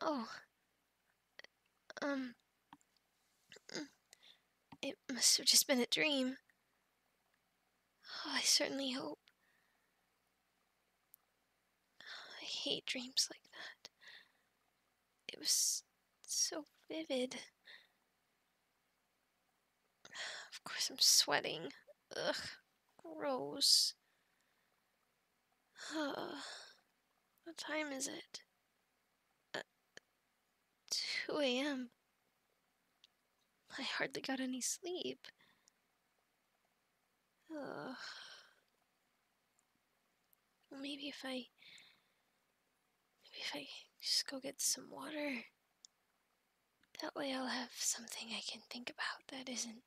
Oh. Um. It must have just been a dream. Oh, I certainly hope. I hate dreams like that. It was so vivid. Of course I'm sweating. Ugh, gross. what time is it? Uh, 2 a.m. I hardly got any sleep. Ugh. Maybe if I. Maybe if I just go get some water. That way I'll have something I can think about that isn't.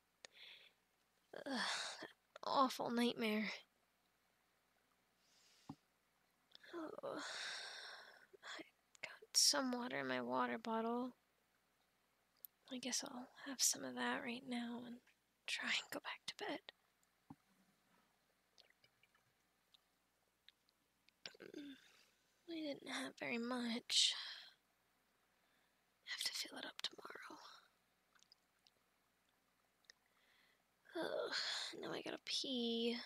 Ugh, that awful nightmare. Oh, I got some water in my water bottle. I guess I'll have some of that right now and try and go back to bed. We mm, didn't have very much. Have to fill it up tomorrow. Oh, now I gotta pee.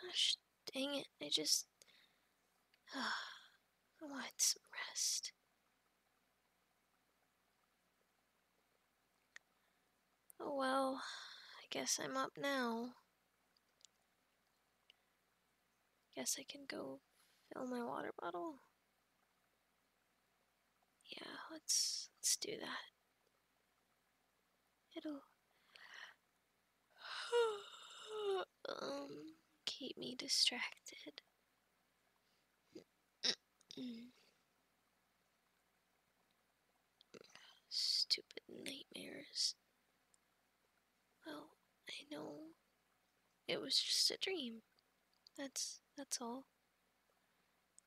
Gosh dang it, I just. Oh, I wanted some rest. Oh well, I guess I'm up now. Guess I can go fill my water bottle. Yeah, let's let's do that. It'll um keep me distracted. Stupid nightmares. Well, I know it was just a dream. That's that's all.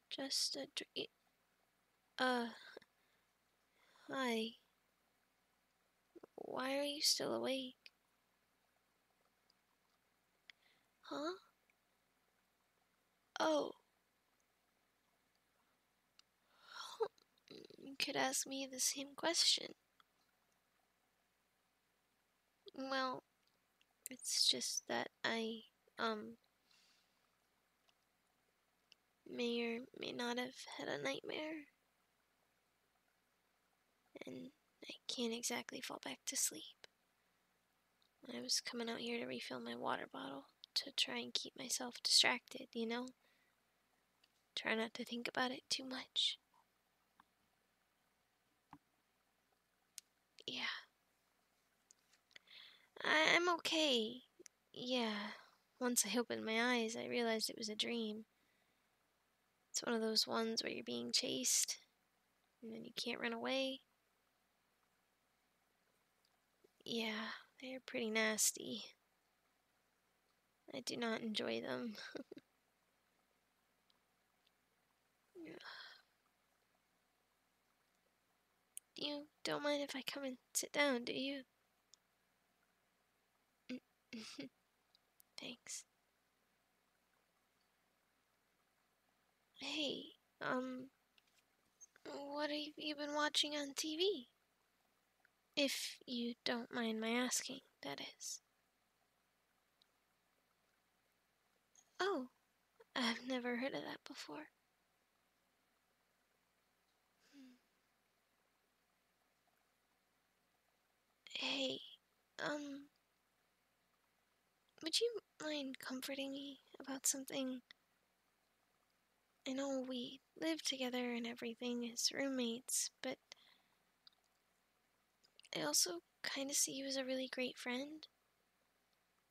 Just a dream. Uh Hi. Why are you still awake? Huh? Oh. Could ask me the same question. Well, it's just that I, um, may or may not have had a nightmare. And I can't exactly fall back to sleep. I was coming out here to refill my water bottle to try and keep myself distracted, you know? Try not to think about it too much. Yeah. I I'm okay. Yeah. Once I opened my eyes, I realized it was a dream. It's one of those ones where you're being chased, and then you can't run away. Yeah, they're pretty nasty. I do not enjoy them. you don't mind if I come and sit down, do you? Thanks. Hey, um, what have you been watching on TV? If you don't mind my asking, that is. Oh, I've never heard of that before. Hey, um, would you mind comforting me about something? I know we they live together and everything as roommates, but I also kind of see you as a really great friend,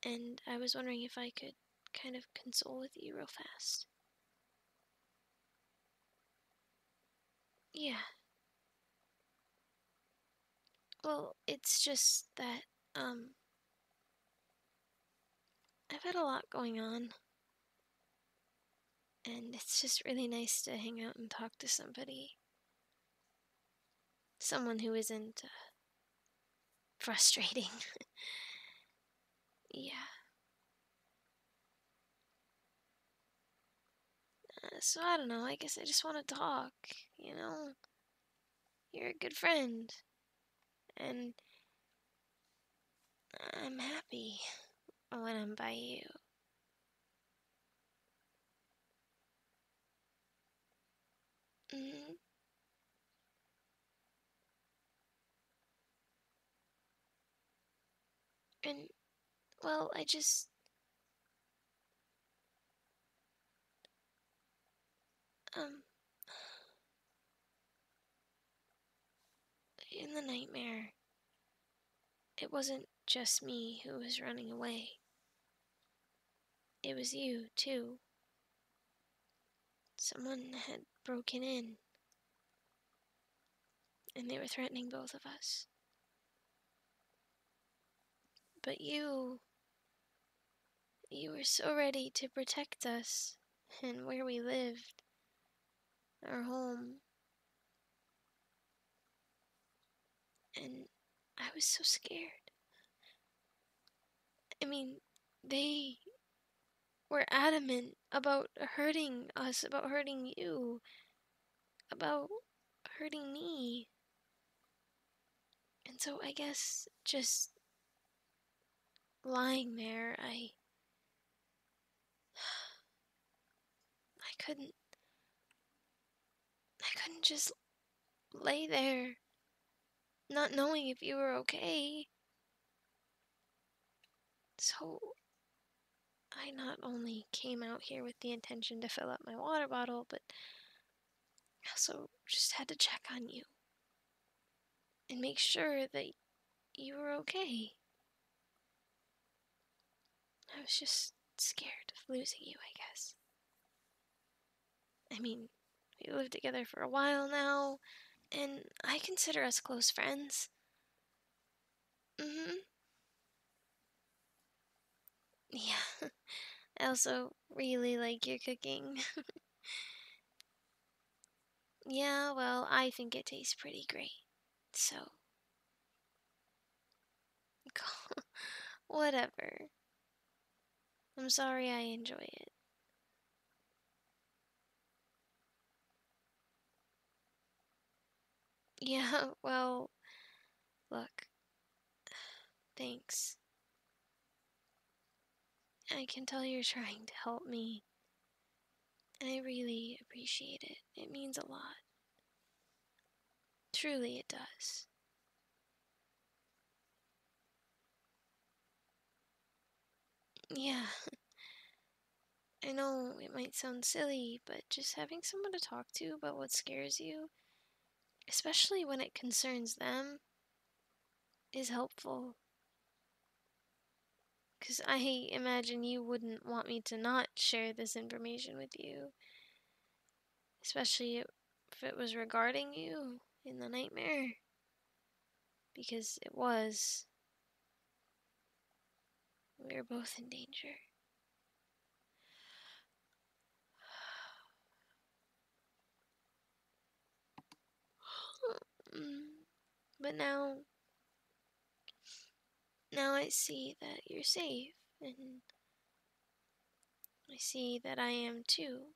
and I was wondering if I could kind of console with you real fast. Yeah. Well, it's just that, um, I've had a lot going on. And it's just really nice to hang out and talk to somebody. Someone who isn't uh, frustrating. yeah. Uh, so I don't know, I guess I just want to talk, you know? You're a good friend. And I'm happy when I'm by you. Mm-hmm. And, well, I just. Um. In the nightmare, it wasn't just me who was running away. It was you, too. Someone had broken in, and they were threatening both of us. But you. You were so ready to protect us and where we lived, our home. And I was so scared. I mean, they were adamant about hurting us, about hurting you, about hurting me. And so I guess just lying there, I I couldn't. I couldn't just lay there, not knowing if you were okay. So, I not only came out here with the intention to fill up my water bottle, but also just had to check on you and make sure that you were okay. I was just scared of losing you, I guess. I mean, we lived together for a while now, and I consider us close friends. Mm hmm. Yeah, I also really like your cooking. Yeah, well, I think it tastes pretty great. So. Whatever. I'm sorry I enjoy it. Yeah, well, look. Thanks. I can tell you're trying to help me and I really appreciate it. It means a lot. Truly, it does. Yeah, I know it might sound silly, but just having someone to talk to about what scares you, especially when it concerns them, is helpful. Because I imagine you wouldn't want me to not share this information with you. Especially if it was regarding you in the nightmare. Because it was. We are both in danger. But now now I see that you're safe, and I see that I am too.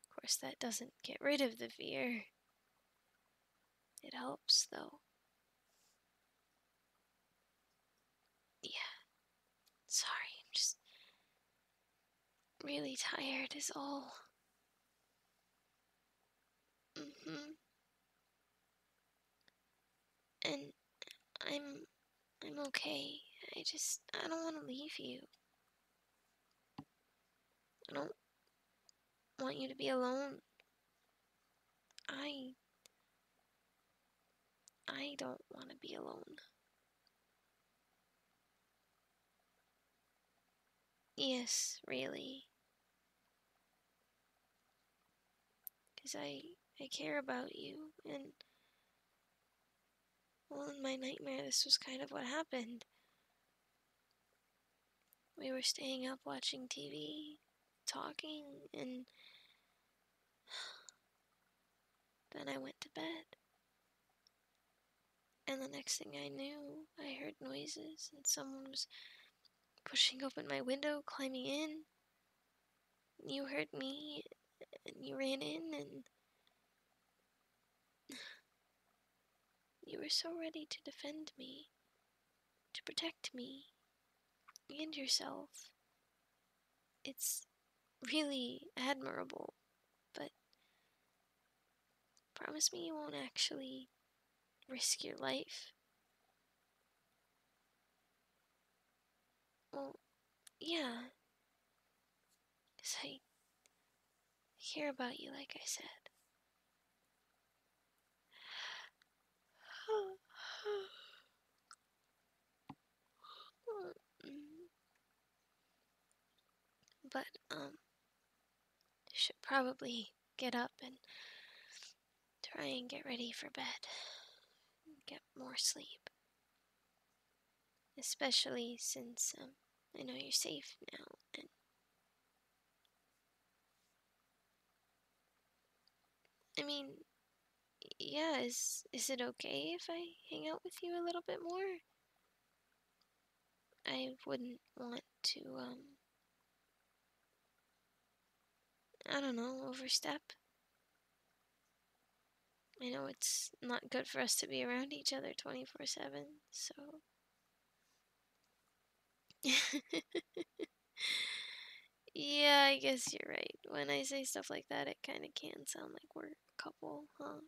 Of course, that doesn't get rid of the fear. It helps, though. Yeah. Sorry, I'm just really tired, is all hmm And I'm I'm okay. I just I don't want to leave you. I don't want you to be alone. I I don't want to be alone. Yes, really. Because I, I care about you, and... Well, in my nightmare, this was kind of what happened. We were staying up watching TV, talking, and... Then I went to bed. And the next thing I knew, I heard noises and someone was pushing open my window, climbing in. You heard me and you ran in and. You were so ready to defend me, to protect me, and yourself. It's really admirable, but Promise me you won't actually risk your life. Well, yeah. Because I care about you, like I said. Mm. But, um, should probably get up and try and get ready for bed. Get more sleep. Especially since, um, I know you're safe now I mean, yeah, is is it okay if I hang out with you a little bit more? I wouldn't want to, um, I don't know, overstep. I know it's not good for us to be around each other 24 7, so. yeah, I guess you're right. When I say stuff like that, it kind of can sound like we're a couple, huh?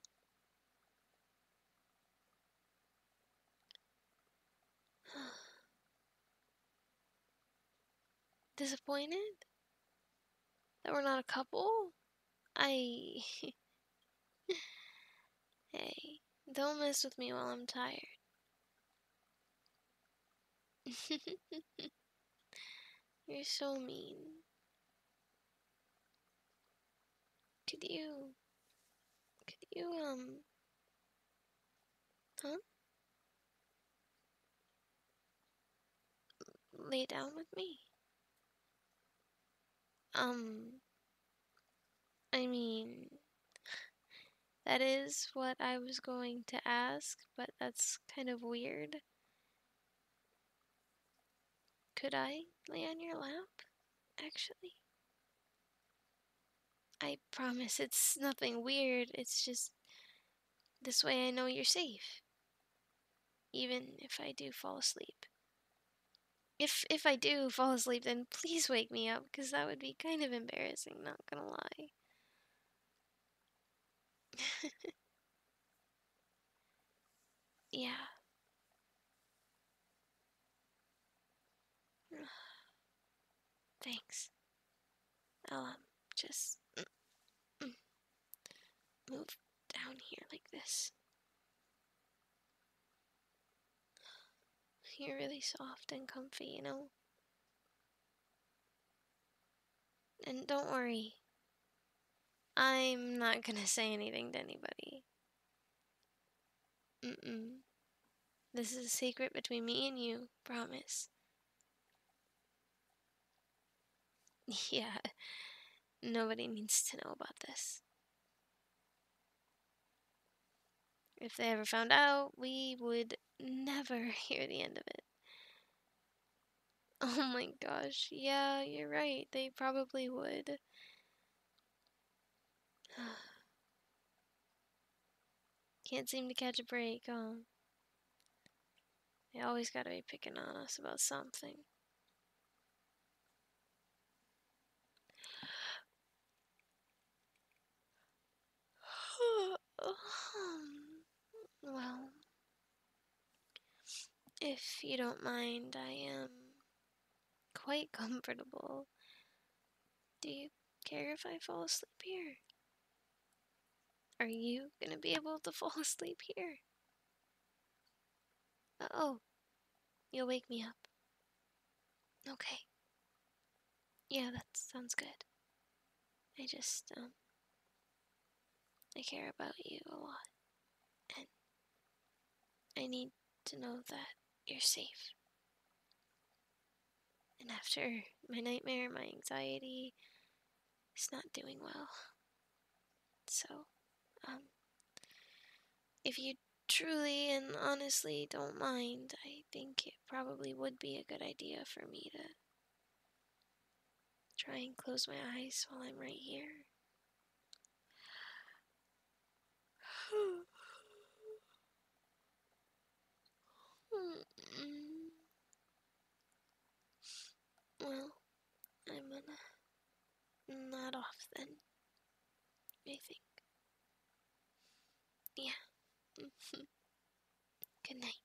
Disappointed? That we're not a couple? I. hey, don't mess with me while I'm tired. You're so mean. Could you, could you, um, huh? Lay down with me? Um, I mean, that is what I was going to ask, but that's kind of weird. Could I lay on your lap, actually? I promise it's nothing weird, it's just this way I know you're safe. Even if I do fall asleep. If if I do fall asleep, then please wake me up, because that would be kind of embarrassing, not gonna lie. yeah. Thanks. I'll um, just move down here like this. You're really soft and comfy, you know? And don't worry, I'm not gonna say anything to anybody mm This is a secret between me and you, promise. Yeah, nobody needs to know about this. If they ever found out, we would never hear the end of it. Oh my gosh, yeah, you're right, they probably would. Can't seem to catch a break, huh? They always gotta be picking on us about something. well, if you don't mind, I am quite comfortable. Do you care if I fall asleep here? Are you gonna be able to fall asleep here? oh, you'll wake me up. Okay. Yeah, that sounds good. I just, um, I care about you a lot. I need to know that you're safe. And after my nightmare, my anxiety is not doing well. So, um, if you truly and honestly don't mind, I think it probably would be a good idea for me to try and close my eyes while I'm right here. well, I'm gonna nod off then, I think. Yeah. Good night.